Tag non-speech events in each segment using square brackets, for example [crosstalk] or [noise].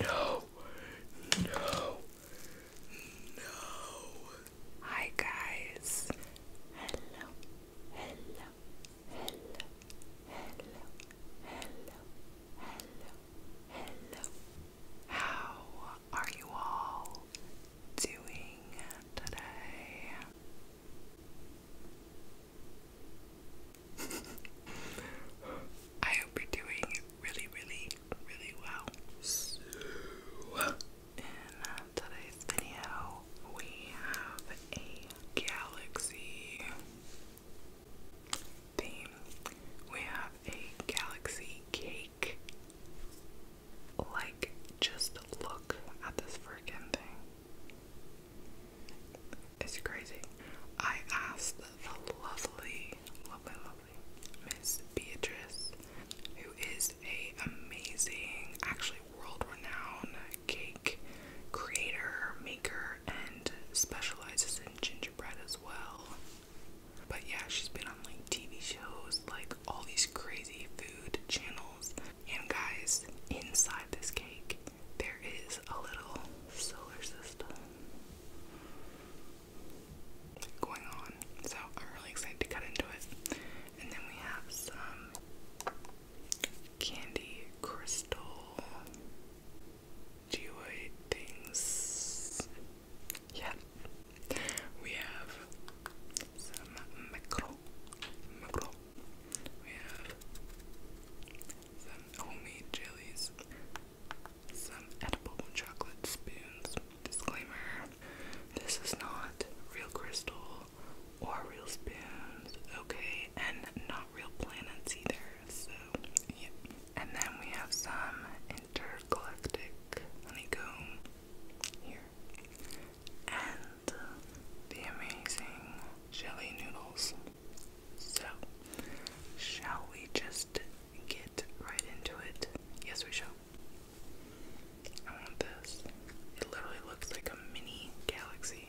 No. No. No. Hi guys. Hello. Hello. Hello. Hello. Hello. Hello. Hello. How are you all doing today? I hope you're doing really, really, really well. So, in today's video, we have a galaxy theme. We have a galaxy cake. Like, just look at this freaking thing. It's crazy. I asked the lovely, lovely, lovely Miss Beatrice, who is a amazing, actually world-renowned cake creator, maker, and specializes in gingerbread as well. But yeah, she's been on like TV shows, like all these crazy food channels, and guys, inside this cake, there is a little solar system going on. So I'm really excited to cut into it. And then we have some candy crystal geoid things. Yeah. We have some macro, macro, we have some homemade jellies, some edible chocolate spoons. Disclaimer this is not real crystal or real spoons, okay, and not real planets either. So, yep. And then we have some intergalactic honeycomb here. And uh, the amazing jelly noodles. So, shall we just get right into it? Yes, we shall. I want this. It literally looks like a mini galaxy.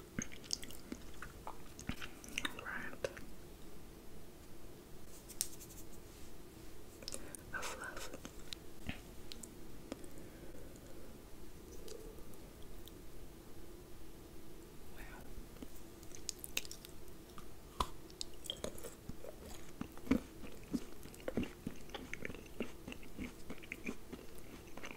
Right. A fluff. Wow.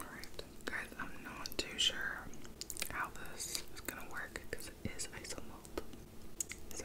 Alright, guys, I'm not too sure how this is gonna work because it is isomalt. So.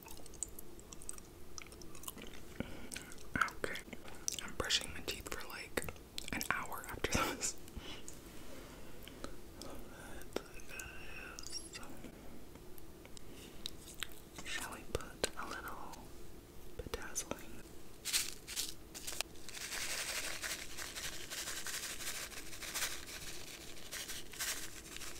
Okay. I'm brushing my teeth for like an hour after this. Shall we put a little bedazzling? Okay.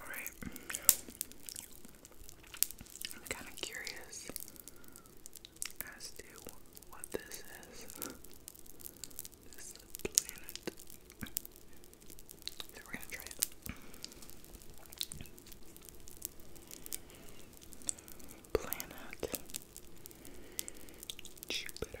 Alright. I'm kind of curious as to what this is. This planet. So we're gonna try it. Planet Jupiter.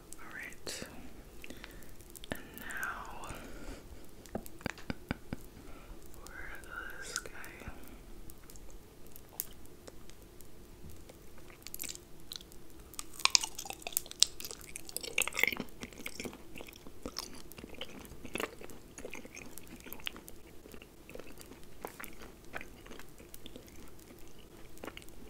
Alright. And now where is this guy?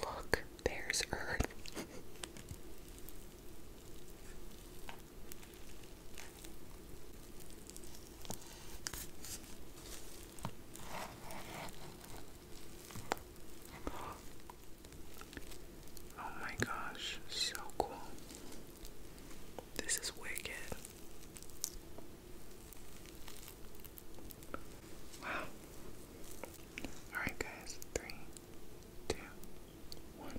Look, there's Earth. [gasps] oh my gosh, so cool. This is wicked. Wow. Alright, guys. Three, two, one.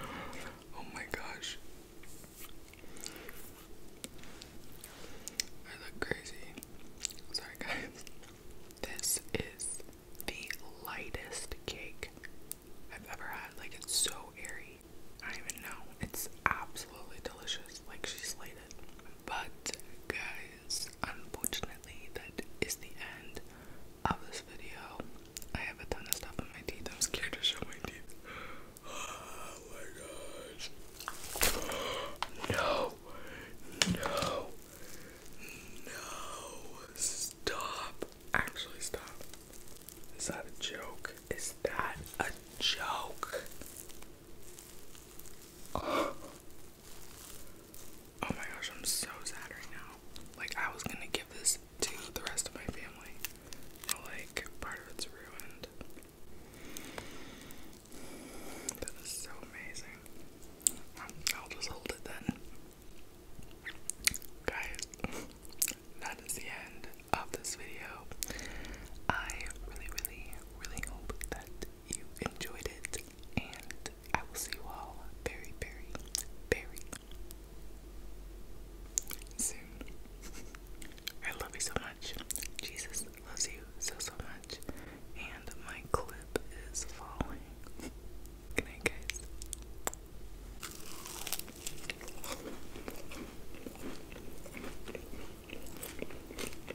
oh my gosh. I look crazy. Sorry guys. This is the lightest cake I've ever had. Like it's so airy. I even know. It's absolutely delicious. Like she slayed but guys, unfortunately that is the end of this video. I have a ton of stuff on my teeth. I'm scared to show my teeth. [gasps] Oh my gosh. [gasps] No. No. No. Stop. Actually stop. Is that a joke? Is that a joke? [gasps] Oh. Oh my gosh, I'm so sad right now. Like, I was gonna give this to the rest of my family, but like, part of it's ruined. That is so amazing. Um, I'll just hold it then. Guys, [laughs] that is the end of this video. I really, really, really hope that you enjoyed it, and I will see you all very, very, very soon. I love you so much. Jesus loves you so, so much. And my clip is falling. Good guys.